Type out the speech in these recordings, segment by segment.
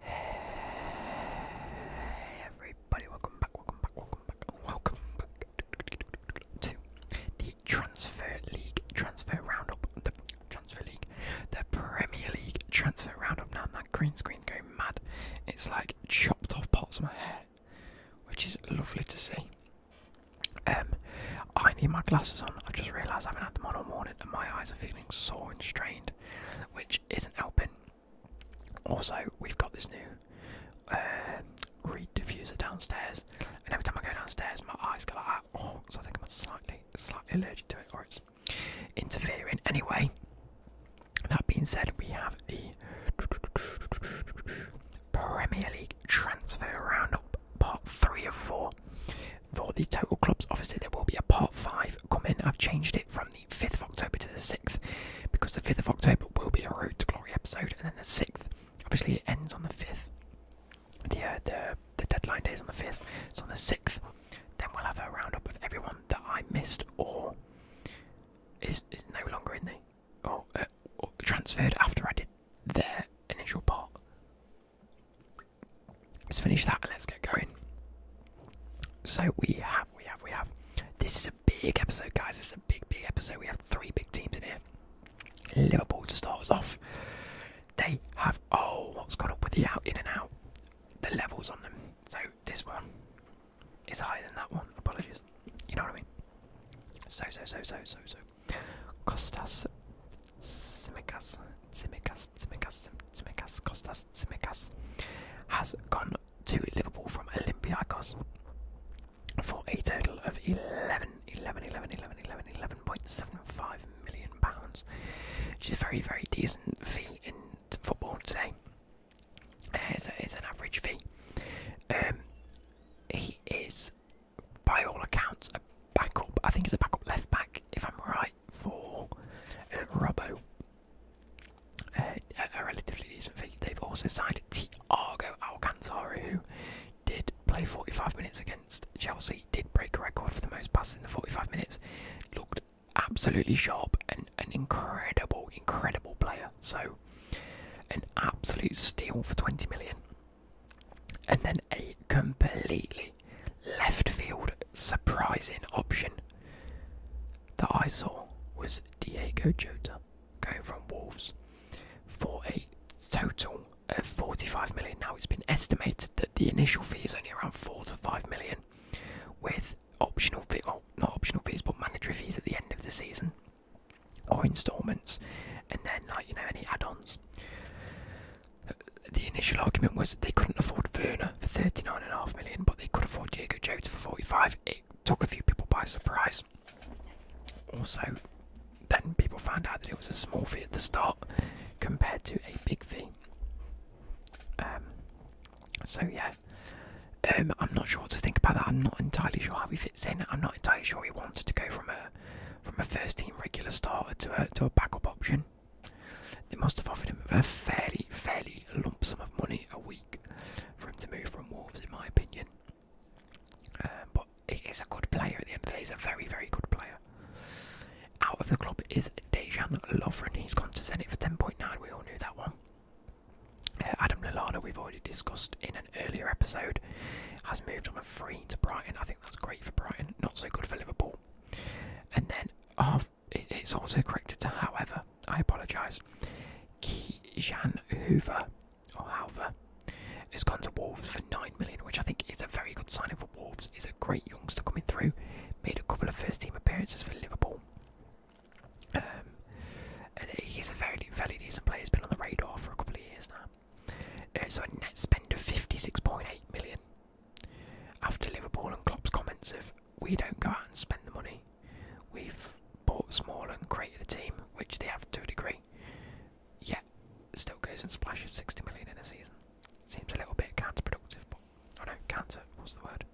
Hey everybody, welcome back, welcome back, welcome back, welcome back to the Transfer League Transfer Roundup, the Transfer League, the Premier League Transfer Roundup. Now that green screen's going mad. It's like chopped off parts of my hair, which is lovely to see. Um, I need my glasses on. I've just realised I haven't had them on all morning, and my eyes are feeling sore and strained which isn't helping. Also, we've got this new uh, reed diffuser downstairs, and every time I go downstairs, my eyes go like that. Oh, so I think I'm slightly, slightly allergic to it, or it's interfering. Anyway, that being said, we have the Premier League transfer roundup, part three of four for the total clubs. Obviously, there will be a part five coming. I've changed it from the 5th of October to the 6th because the 5th of October will be a Road to Glory episode, and then the 6th. Obviously, it ends on the 5th. Uh, the, the, deadline day is on the 5th, so on the 6th, then we'll have a roundup of everyone that I missed or is, is no longer in the. or uh, transferred after I did their initial part. Let's finish that and let's get going. So we have, we have, we have. This is a big episode, guys. This is a big, big episode. We have three big teams in here. Liverpool to start us off. They have oh, what's got up with the out, in and out, the levels on them. So this one is higher than that one. Apologies. You know what I mean. So so so so so so. Costas, Tsimikas, Tsimikas, Tsimikas, Tsimikas, Costas Tsimikas has gone to Liverpool from Olympiacos for a total of 11, 11, 11, 11, 11, 11.75 million pounds, which is a very, very decent fee in football today. It's, an average fee. Um, he is, by all accounts, a backup. I think he's a backup left back, if I'm right for uh, a relatively decent fee. They've also signed Tiago Alcantara, who did play 45 minutes against Chelsea, did break a record for the most passes in the 45 minutes, looked absolutely sharp and an incredible, incredible player. So, an absolute steal for 20 million. And then a completely left field surprising option that I saw was Diego Jota going from Wolves for a total of 45 million. Now it's been estimated that the initial fee is only around 4 to 5 million with optional fee well, not optional fees but mandatory fees at the end of the season or installments and then like you know any add-ons the initial argument was they couldn't afford Verner for 39.5 million, but they could afford Diego Jones for 45. It took a few people by surprise. Also, then people found out that it was a small fee at the start compared to a big fee. Um, so, yeah, um, I'm not sure what to think about that. I'm not entirely sure how he fits in. I'm not entirely sure he wanted to go from a from a first team regular starter to a, to a backup option. They must have offered him a fairly, fairly lump sum of money a week for him to move from Wolves, in my opinion. Um, but he's a good player at the end of the day, he's a very, very good player. Out of the club is Dejan Lovren, he's gone to Zenit for 10.9, we all knew that one. Uh, Adam Lallana, we've already discussed in an earlier episode, has moved on a free to Brighton. I think that's great for Brighton, not so good for Liverpool. And then half it's also corrected to however. I apologise. Kijan Hoover, or Halver, has gone to Wolves for 9 million, which I think is a very good signing for Wolves. He's a great youngster coming through, made a couple of first team appearances for Liverpool. Um, and he's a fairly, fairly decent player, he's been on the radar for a couple of years now. It's uh, a net spend of 56.8 million, after Liverpool and Klopp's comments of we don't go out and spend the money, we've bought small and created a team, which they have to a degree, yet still goes and splashes 60 million in a season. Seems a little bit counterproductive, but oh no, counter What's the word.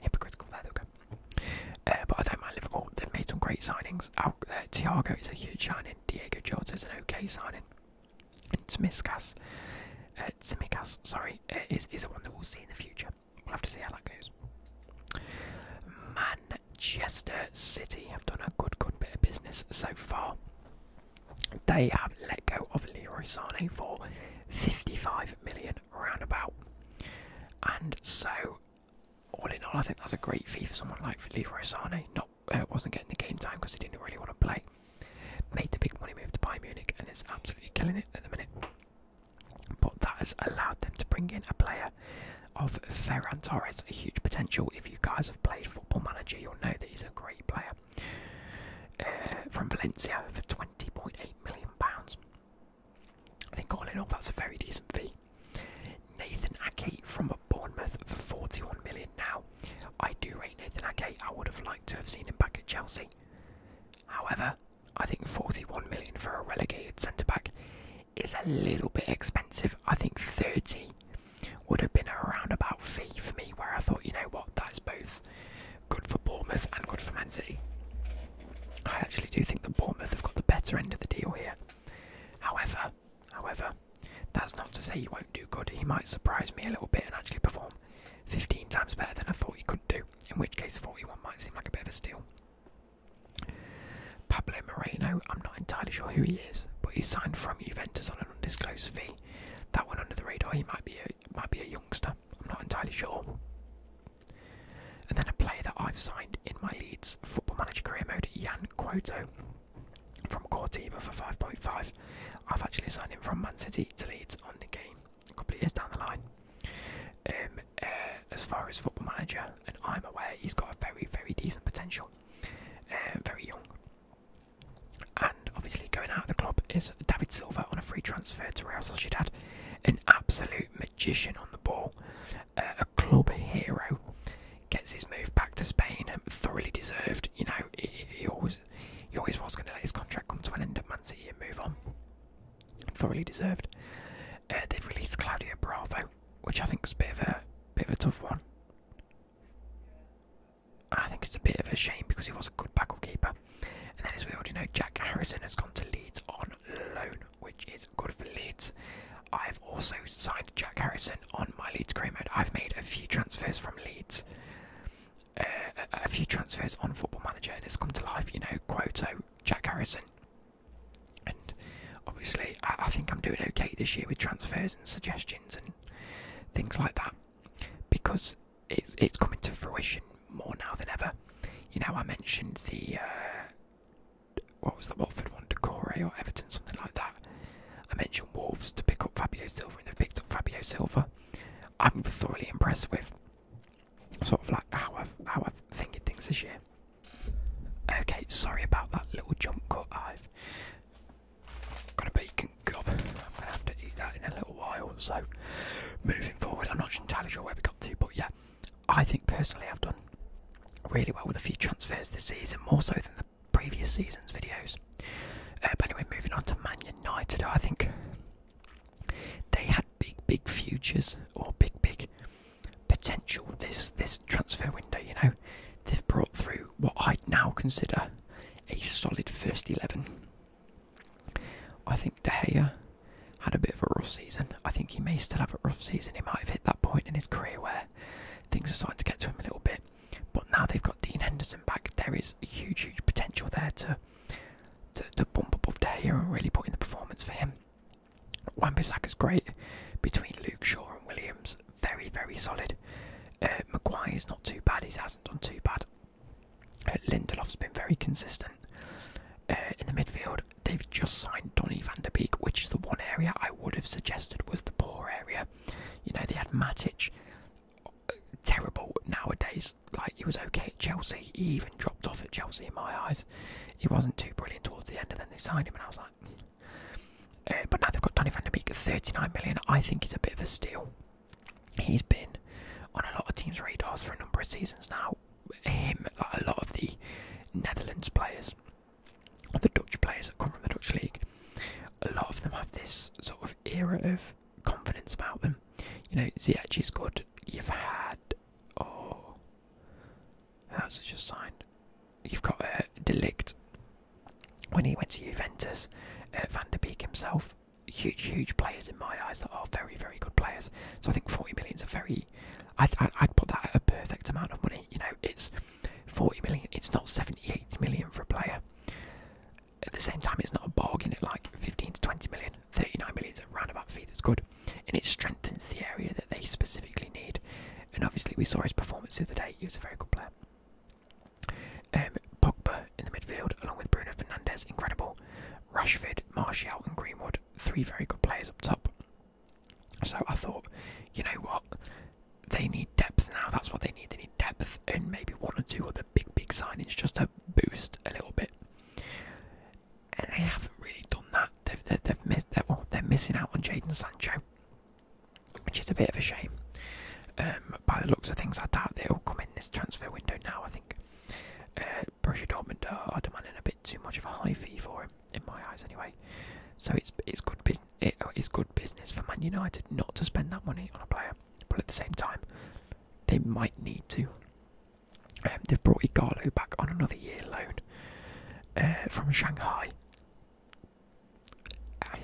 Hypocritical, there okay. go. Uh, but I don't mind Liverpool, they've made some great signings. Out, uh, Thiago is a huge signing, Diego Jota is an okay signing. Tsimikas, uh, Tsimikas, sorry, uh, is, is one that we'll see in the future. We'll have to see how that goes. Manchester City have done a good, good bit of business so far. They have let go of Leroy Sane for 55 million roundabout. And so, all in all, I think that's a great fee for someone like Leroy Sane. Not uh, wasn't getting the game time because he didn't really want to play. Made the big money move to Bayern Munich and is absolutely killing it at the minute. But that has allowed them to bring in a player of Ferran Torres, a huge potential. If you guys have played Football Manager, you'll know that he's a great player. Uh, from Valencia for £20.8 million. I think all in all, that's a very decent fee. Nathan Ake from Bournemouth for £41 now I do rate Nathan Ake. I would have liked to have seen him back at Chelsea. However, I think 41 million for a relegated centre back is a little bit expensive. I think 30 would have been a roundabout fee for me, where I thought, you know what, that's both good for Bournemouth and good for Man City. I actually do think that Bournemouth have got the better end of the deal here. However, however, that's not to say he won't do good. He might surprise me a little bit and actually perform. 15 times better than I thought he could do, in which case 41 might seem like a bit of a steal. Pablo Moreno, I'm not entirely sure who he is, but he's signed from Juventus on an undisclosed fee. That one under the radar, he might be a, might be a youngster, I'm not entirely sure. And then a player that I've signed in my Leeds football manager career mode, Jan Quoto from Cortiva for 5.5. I've actually signed him from Man City to lead on the game a couple of years down the line. Um, uh, as far as football manager, and I'm aware he's got a very, very decent potential, uh, very young. And obviously, going out of the club is David Silva on a free transfer to Real Sociedad, an absolute magician on the ball, uh, a club hero. Gets his move back to Spain, thoroughly deserved. You know, he always he always was going to let his contract come to an end at Manchester and move on. Thoroughly deserved. Uh, they've released Claudio Bravo, which I think was a bit of a bit of a tough one. I think it's a bit of a shame because he was a good backup keeper. And then, as we already know, Jack Harrison has gone to Leeds on loan, which is good for Leeds. I've also signed Jack Harrison on my Leeds career mode. I've made a few transfers from Leeds a few transfers on Football Manager and it's come to life. You know, Quoto, Jack Harrison, and obviously I, think I'm doing okay this year with transfers and suggestions and things like that because it's it's coming to fruition more now than ever. You know, I mentioned the uh, what was the Watford one, Corey or Everton, something like that. I mentioned Wolves to pick up Fabio Silva, and they've picked up Fabio Silva. I'm thoroughly impressed with sort of like how I've how I've thinking things this year. Okay, sorry about that little jump cut. I've got a bacon gob. I'm gonna have to eat that in a little while. So moving forward, I'm not entirely sure where we got to, but yeah, I think personally I've done really well with a few transfers this season, more so than the previous season's videos. Uh, but anyway, moving on to Man United, I think they had big, big futures or big, big potential this this transfer window. You know, they've brought through what I now consider a solid first eleven. I think De Gea had a bit of a rough season. I think he may still have a rough season. He might have hit that point in his career where things are starting to get to him a little bit. But now they've got Dean Henderson back. There is a huge, huge potential there to to, bump above there here and really put in the performance for him. wan is great between Luke Shaw and Williams. Very, very solid. Uh, is not too bad. He hasn't done too bad. Uh, Lindelof's been very consistent. Uh, in the midfield, they've just signed Donny van der Beek, which is the one area I would have suggested was the poor area. You know, they had Matic, terrible nowadays. Like he was okay at Chelsea. He even dropped off at Chelsea in my eyes. He wasn't too brilliant towards the end, and then they signed him, and I was like. Eh, but now they've got Donny van de Beek at 39 million. I think he's a bit of a steal. He's been on a lot of teams' radars for a number of seasons now. Him, like a lot of the Netherlands players, the Dutch players that come from the Dutch league, a lot of them have this sort of era of confidence about them. You know, Ziyech is good. You've had oh, how's it just signed? You've got a uh, Delict when he went to Juventus. Uh, Van der Beek himself, huge, huge players in my eyes that are very, very good players. So I think 40 million is a very, I'd put that at a perfect amount of money. You know, it's 40 million. It's not 70, 80 million for a player at the same time, it's not a bargain It like 15 to 20 million. 39 million is a roundabout fee that's good, and it strengthens the area that they specifically need. And obviously, we saw his performance the other day, he was a very good player. Um, Pogba in the midfield, along with Bruno Fernandes, incredible. Rashford, Martial, and Greenwood, three very good players up top. So I thought, you know what, they need depth now, that's what they need. They need depth and maybe one or two other big, big signings just to boost a little bit. And they haven't really done that. They've, they've, missed, they're, well, they're missing out on Jaden Sancho, which is a bit of a shame. Um, by the looks of things, I doubt they'll come in this transfer window now. I think uh, Borussia Dortmund are demanding a bit too much of a high fee for him, in my eyes, anyway. So it's it's good it, it's good business for Man United not to spend that money on a player, but at the same time, they might need to. Um, they've brought Igalo back on another year loan uh, from Shanghai. Um,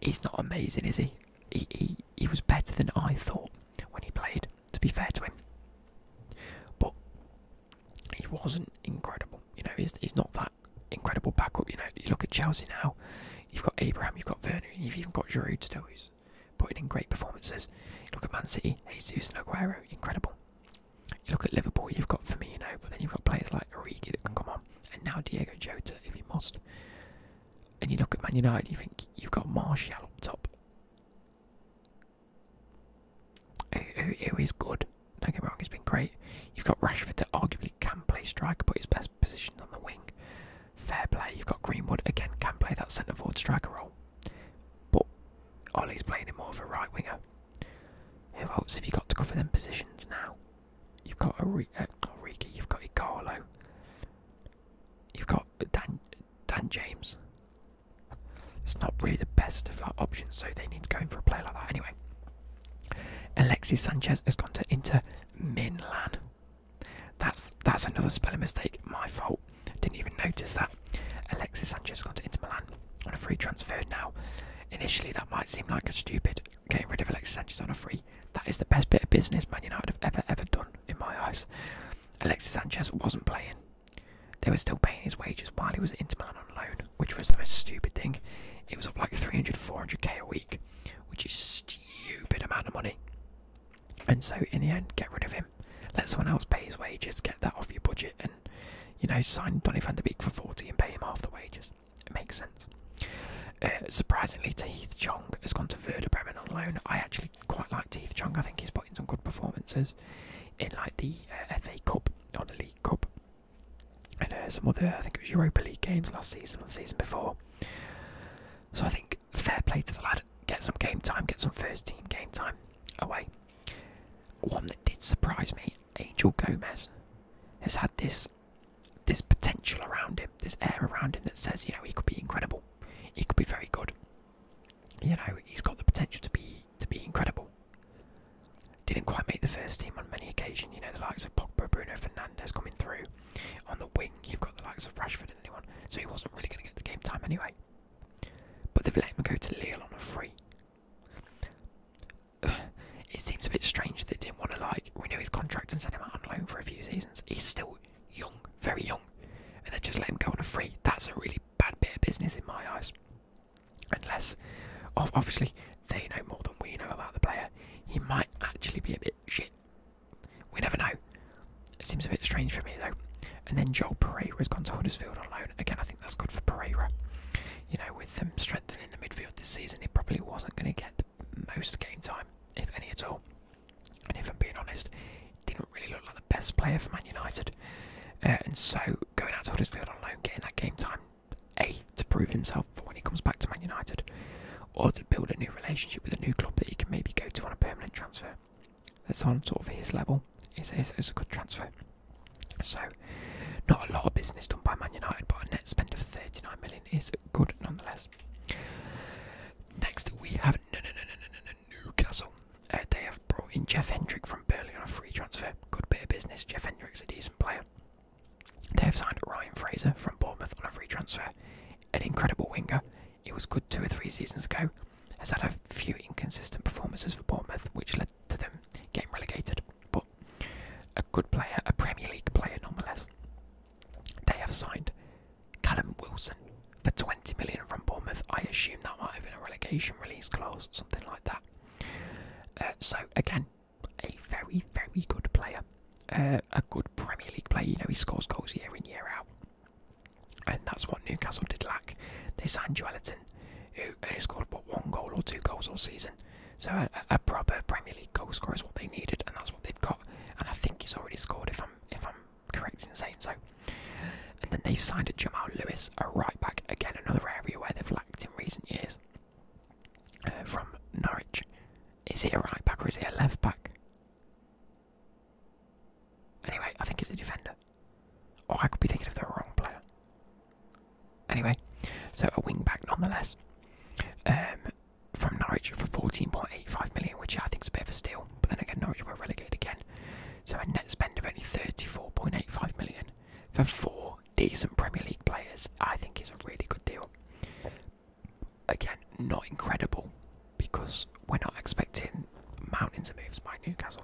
he's not amazing, is he? He, he? he was better than I thought when he played, to be fair to him. But he wasn't incredible. You know, he's, he's not that incredible backup. You know, you look at Chelsea now, you've got Abraham, you've got Werner, you've even got Giroud still, who's putting in great performances. look at Man City, Jesus and Aguero, incredible. You look at Liverpool, you've got Firmino, but then you've got players like Origi that can come on, and now Diego Jota if you must. And you look at Man United, you think you've got Martial up top, who, who, who is good. Don't get me wrong, he's been great. You've got Rashford that arguably can play striker, but his best position on the wing. Fair play, you've got Greenwood again, can play that centre forward striker role. But Ollie's playing him more of a right winger. Who else have you got to cover them positions now? You've got Origi, uh, you've got Igalo, you've got Dan, Dan James. It's not really the best of like, options, so they need to go in for a player like that anyway. Alexis Sanchez has gone to Inter Milan. That's that's another spelling mistake. My fault. Didn't even notice that. Alexis Sanchez gone to Inter Milan on a free transfer now. Initially, that might seem like a stupid getting rid of Alexis Sanchez on a free. That is the best bit of business Man United have ever ever done in my eyes. Alexis Sanchez wasn't playing. They were still paying his wages while he was at Inter Milan on loan, which was the most stupid thing. It was up like 300, 400k a week, which is stupid amount of money. And so, in the end, get rid of him. Let someone else pay his wages, get that off your budget, and you know, sign Donny van der Beek for 40 and pay him half the wages. It makes sense. Uh, surprisingly, Tahith Chong has gone to Werder Bremen on loan. I actually quite like Tahith Chong. I think he's put in some good performances in like the uh, FA Cup or the League Cup and uh, some other, I think it was Europa League games last season or the season before. So I think fair play to the lad. Get some game time, get some first team game time away. One that did surprise me, Angel Gomez, has had this this potential around him, this air around him that says, you know, he could be incredible. He could be very good. You know, he's got the potential to be to be incredible. Didn't quite make the first team on many occasions, you know, the likes of Pogba, Bruno Fernandes coming through. On the wing, you've got the likes of Rashford and anyone, so he wasn't really going to get the game time anyway. But they've let him go to Lille on a free. It seems a bit strange that they didn't want to like renew his contract and send him out on loan for a few seasons. He's still young, very young, and they just let him go on a free. That's a really bad bit of business in my eyes. Unless, obviously, they know more than we know about the player. He might actually be a bit shit. We never know. It seems a bit strange for me though. And then Joel Pereira has gone to Huddersfield on loan. Again, I think that's good for Pereira. You know, with them strengthening the midfield this season, he probably wasn't going to get the most game time, if any at all. And if I'm being honest, didn't really look like the best player for Man United. Uh, and so going out to Huddersfield on loan, getting that game time, A, to prove himself for when he comes back to Man United, or to build a new relationship with a new club that he can maybe go to on a permanent transfer. That's on sort of his level. It's, a good transfer. So, not a lot of business done by Man United, but a net spend of 39 million is good nonetheless. Next, we have Newcastle. Uh, they have brought in Jeff Hendrick from Burnley on a free transfer. Good bit of business. Jeff Hendrick's a decent player. They have signed Ryan Fraser from Bournemouth on a free transfer an incredible winger. It was good two or three seasons ago, has had a few inconsistent performances for Bournemouth, which led to them getting relegated. But a good player, a Premier League player nonetheless. They have signed Callum Wilson for 20 million from Bournemouth. I assume that might have been a relegation release clause, something like that. Uh, so, again, a very, very good player. Uh, a good Premier League player. You know, he scores goals year in, year out. And that's what Newcastle did lack. They signed Joeliton, who only scored what one goal or two goals all season. So a, proper Premier League goal scorer is what they needed, and that's what they've got. And I think he's already scored, if I'm if I'm correct in saying so. And then they've signed Jamal Lewis, a right back, again another area where they've lacked in recent years. Uh, from Norwich, is he a right back or is he a left back? Anyway, I think it's a defender. Or I could be thinking of the wrong player. Anyway, so a wing back nonetheless. Um, from Norwich for 14.85 million, which I think is a bit of a steal. But then again, Norwich were relegated again. So a net spend of only 34.85 million for four decent Premier League players, I think is a really good deal. Again, not incredible because we're not expecting mountains of moves by Newcastle.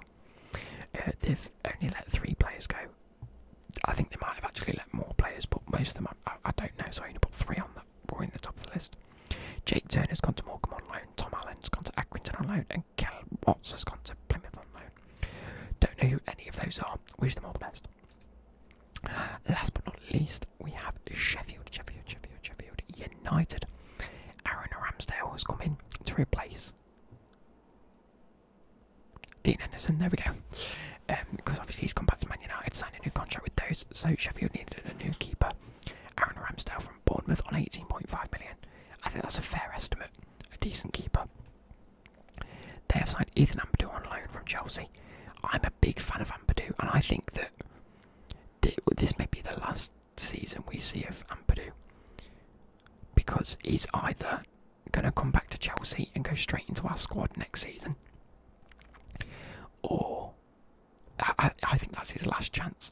Uh, they've only let three players go. I think they might have actually let more players, but most of them, I, don't know, so I only put three on that were in the top of the list. Jake Turner's gone to Morecambe on loan, Tom Allen's gone to Accrington on loan, and Kel Watts has gone to Plymouth on loan. Don't know who any of those are, wish them all the best. Last but not least, we have Sheffield, Sheffield, Sheffield, Sheffield United. Aaron Ramsdale has come in to replace Dean Henderson. There we go. Because um, obviously he's come back to Man United, signed a new contract with those. So Sheffield needed a new keeper. Aaron Ramsdale from Bournemouth on 18.5 million. I think that's a fair estimate. A decent keeper. They have signed Ethan Ampadu on loan from Chelsea. I'm a big fan of Ampadu, and I think that this may be the last season we see of Ampadu because he's either going to come back to Chelsea and go straight into our squad next season, or I, think that's his last chance.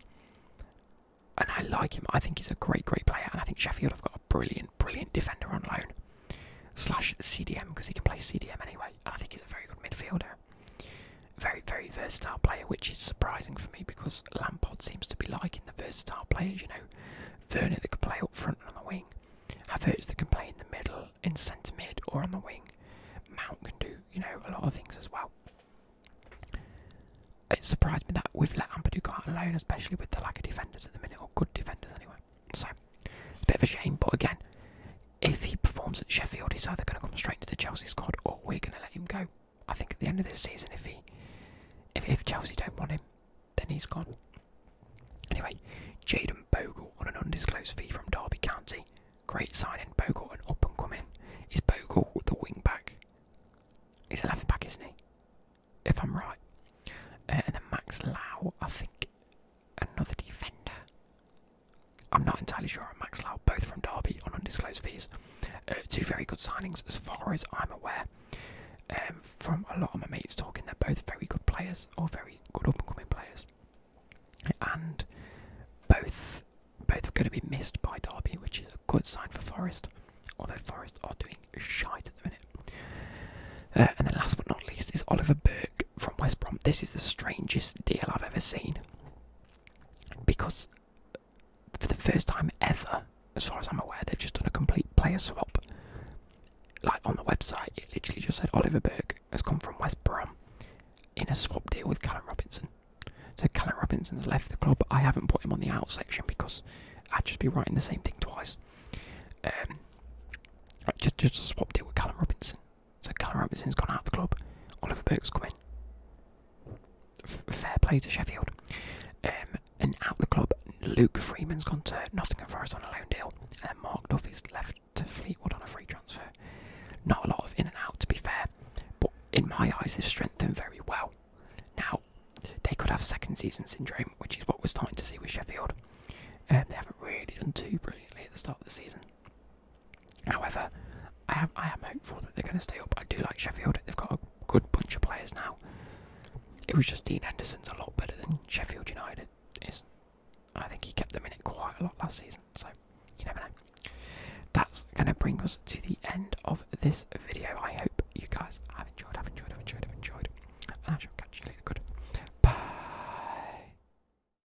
And I like him. I think he's a great, great player. And I think Sheffield have got a brilliant, brilliant defender on loan slash CDM because he can play CDM anyway. And I think he's a very good midfielder very, very versatile player, which is surprising for me because Lampard seems to be liking the versatile players. You know, Werner that can play up front and on the wing, Havertz that can play in the middle, in centre mid, or on the wing. Mount can do, you know, a lot of things as well. It surprised me that we've let Ampadu go out alone, especially with the lack of defenders at the minute, or good defenders anyway. So, a bit of a shame, but again, if he performs at Sheffield, he's either going to come straight into the Chelsea squad or we're going to let him go. I think at the end of this season, if he, if, if Chelsea don't want him, then he's gone. Anyway, Jaden Bogle on an undisclosed fee from Derby County. Great signing, Bogle, an up and coming. Is Bogle the wing back? He's a left back, isn't he? If I'm right. Uh, and then Max Lau, I think another defender. I'm not entirely sure on Max Lau, both from Derby on undisclosed fees. Uh, two very good signings, as far as I'm aware. Um, from a lot of my mates talking, they're both very good players, or very good up and coming players, and both both are going to be missed by Derby, which is a good sign for Forest. Although Forest are doing shite at the minute. Uh, and then last but not least is Oliver Burn, from West Brom. This is the strangest deal I've ever seen. Because uh, for the first time ever, as far as I'm aware, they've just done a complete player swap. Like on the website, it literally just said Oliver Burke has come from West Brom in a swap deal with Callum Robinson. So Callum Robinson has left the club. I haven't put him on the out section because I'd just be writing the same thing twice. Um, just, just a swap deal with Callum Robinson. So Callum Robinson's gone out of the club. Oliver Burke's come in. fair play to Sheffield. Um, and out of the club, Luke Freeman's gone to Nottingham Forest on a loan deal. And Mark Duffy's left to Fleetwood on a free transfer. Not a lot of in and out, to be fair. But in my eyes, they've strengthened very well. Now, they could have second season syndrome, which is what was are starting to see with Sheffield. And um, they haven't really done too brilliantly at the start of the season. However, I am hopeful that they're going to stay up. I do like Sheffield; they've got a good bunch of players now. It was just Dean Henderson's a lot better than Sheffield United is. I think he kept them in it quite a lot last season, so you never know. That's going to bring us to the end of this video. I hope you guys have enjoyed, have enjoyed, have enjoyed, have enjoyed, and I shall catch you later. Good. Bye.